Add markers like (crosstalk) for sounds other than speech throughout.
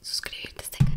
suscribirte a este canal.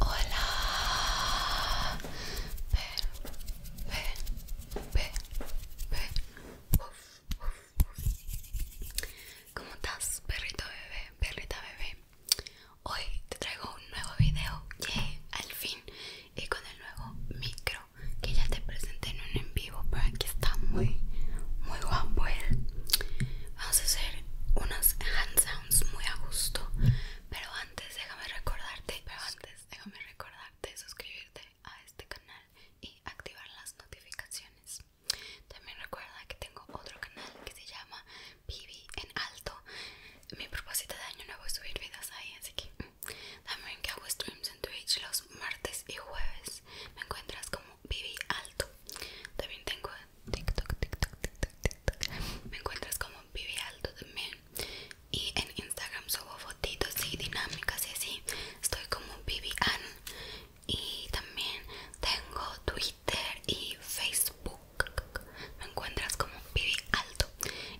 Hola. Uf, ¿Cómo estás, perrito bebé, perrita bebé? Hoy te traigo un nuevo video, que al fin, y con el nuevo micro que ya te presenté en un en vivo, pero aquí está muy, muy guapo Vamos a hacer unos hand muy a gusto pero antes déjame recordarte pero antes déjame recordarte suscribirte a este canal y activar las notificaciones también recuerda que tengo otro canal que se llama Vivi en alto mi propósito de año nuevo es subir videos ahí así que también que hago streams en Twitch los martes y jueves me encuentras como Vivi alto también tengo TikTok, TikTok, TikTok, TikTok. Me encuentras como Vivi Alto también. Y en Instagram subo fotitos y dinámicas y así. Estoy como Vivian. Y también tengo Twitter y Facebook. Me encuentras como Bibi Alto.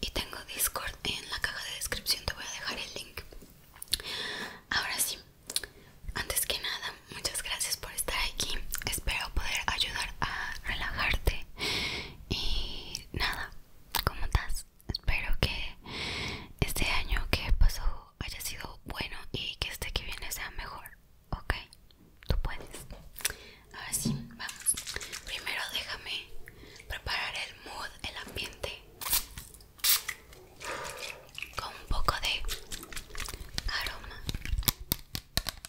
Y tengo Discord en la caja de descripción. Te voy a dejar el link. Ahora sí, antes que nada, muchas gracias por estar aquí. Espero poder ayudar a relajarte. Y nada, ¿cómo estás? Espero que este año que pasó haya sido bueno y que este que viene sea mejor. Ok, tú puedes. Ahora sí, vamos. Primero déjame preparar el mood, el ambiente. Con un poco de aroma (sighs)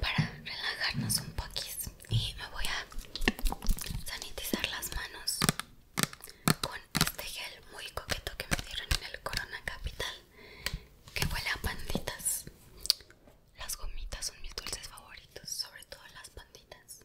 para relajarnos un poquito y me voy a sanitizar las manos con este gel muy coqueto que me dieron en el Corona Capital que huele a panditas las gomitas son mis dulces favoritos sobre todo las panditas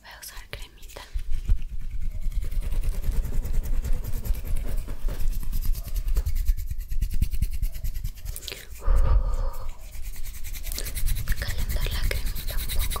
Voy a usar cremita calentar la crema un poco.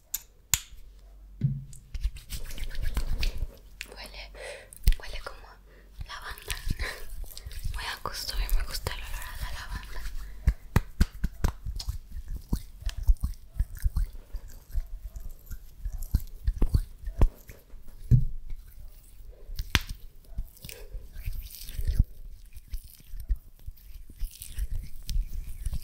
Huele, huele como lavanda. Muy a gusto, a mí me gusta el olor a la lavanda.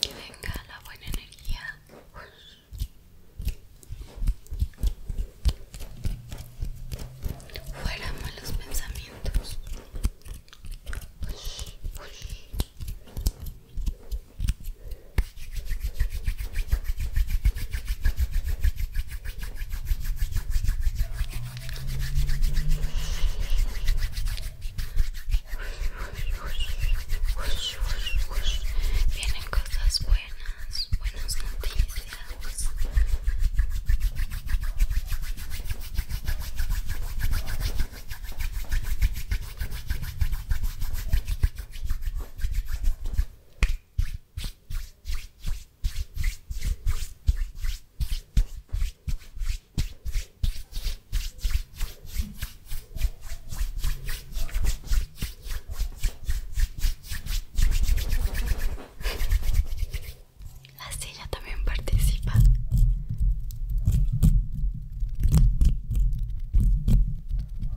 Que venga la buena energía. Fuera malos pensamientos. Vienen cosas buenas, buenas noticias. La silla también participa.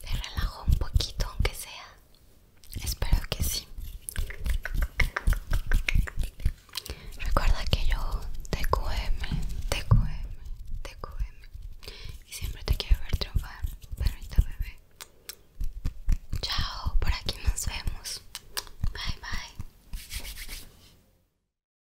Te relajo un poquito, aunque sea. Espero que sí. Recuerda que yo TQM, TQM, TQM. Y siempre te quiero ver triunfar, perrito bebé. Chao, por aquí nos vemos. Bye, bye.